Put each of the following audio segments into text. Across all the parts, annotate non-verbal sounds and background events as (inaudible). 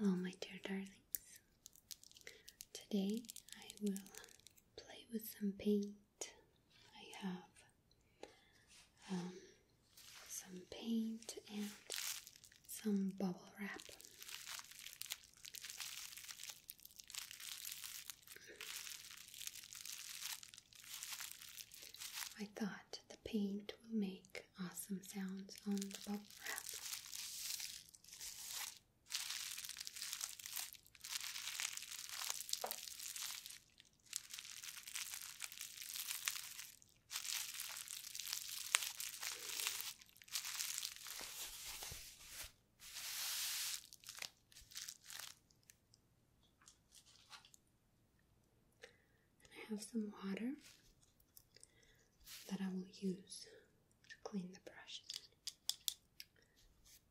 Hello, my dear darlings. Today I will play with some paint. I have um, some paint and some bubble wrap. I thought the paint will make awesome sounds on the bubble wrap. I have some water that I will use to clean the brushes.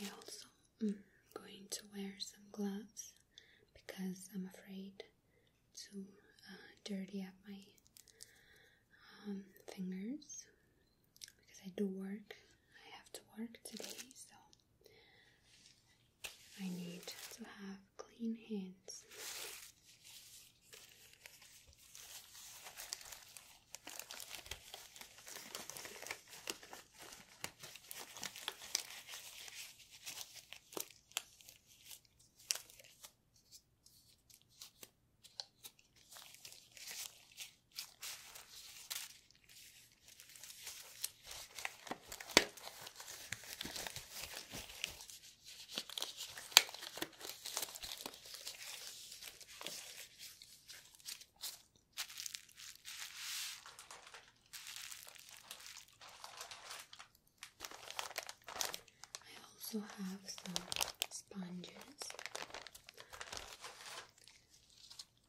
I also am going to wear some gloves because I'm afraid to uh, dirty up my um, fingers because I do work. I have to work today, so I need to have clean hands. I also have some sponges.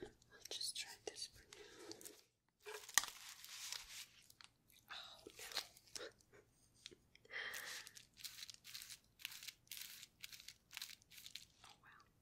I'll just try this for now. Oh no. (laughs) oh wow.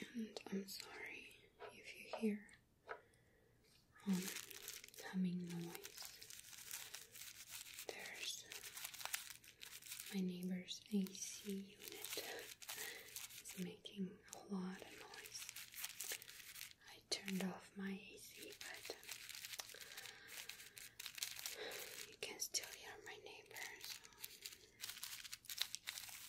And I'm sorry if you hear um, humming noise. There's my neighbor's AC unit is making a lot of noise. I turned off my AC, but you can still hear my neighbors.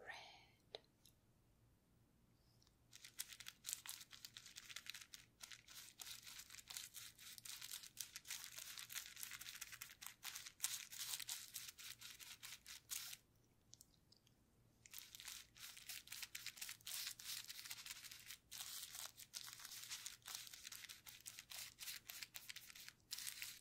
red.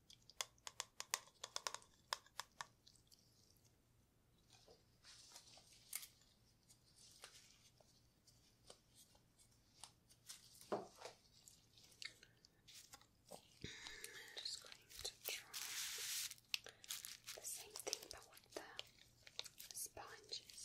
I'm just going to try the same thing but with the sponges.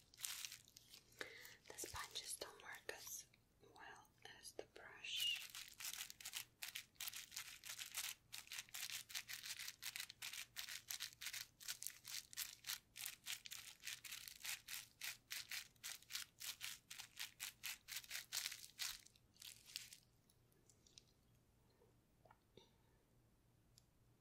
The sponges don't work as well as the brush.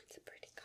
It's a pretty color.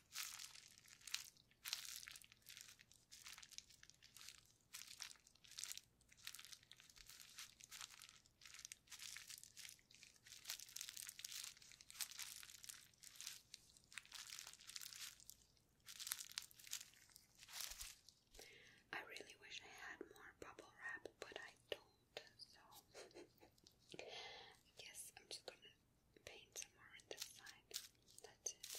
I really wish I had more bubble wrap, but I don't, so I (laughs) guess I'm just gonna paint some on this side. That's it.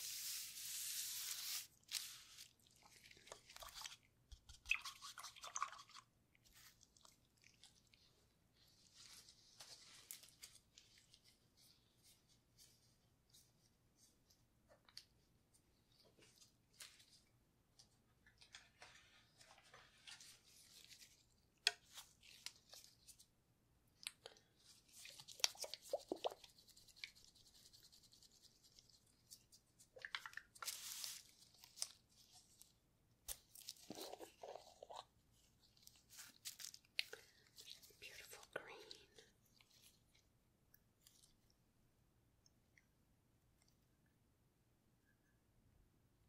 There's beautiful green.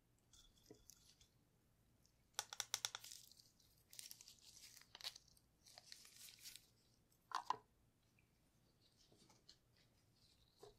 I have this awesome pink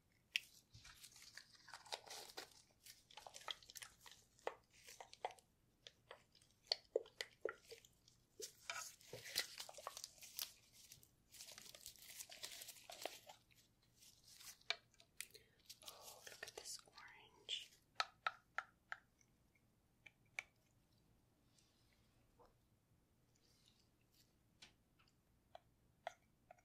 Oh, look at this orange.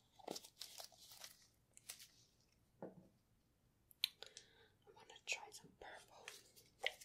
I want to try some purple. pretty.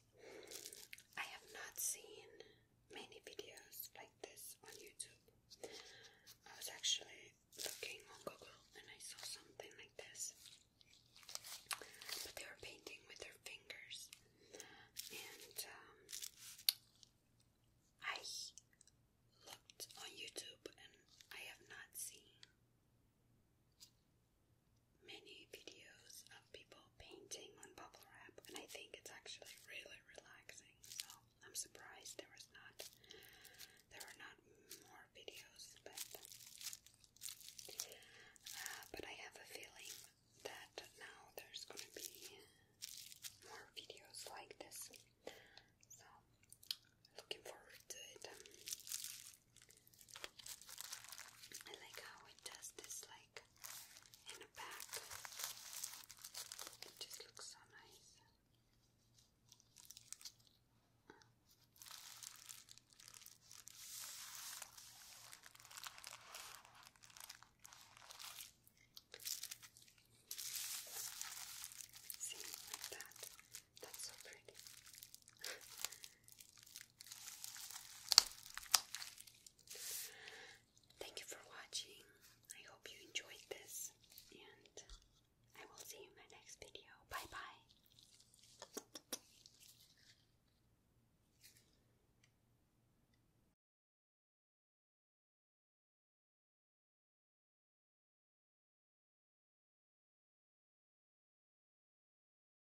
I have not seen many videos like this on YouTube. I was actually looking on Google and I saw something like this. But they were painting with their fingers. And um, I looked on YouTube and I have not seen many videos of people painting on bubble wrap, and I think it's actually really relaxing. So I'm surprised there was not there were not more videos, but uh, but I have a feeling that now there's gonna be more videos like this. So looking forward to it. I like how it does this like in the back. It just looks so nice. See, like that. That's so pretty. (laughs) Thank you for watching. I hope you enjoyed this, and I will see you in my next video. Bye bye.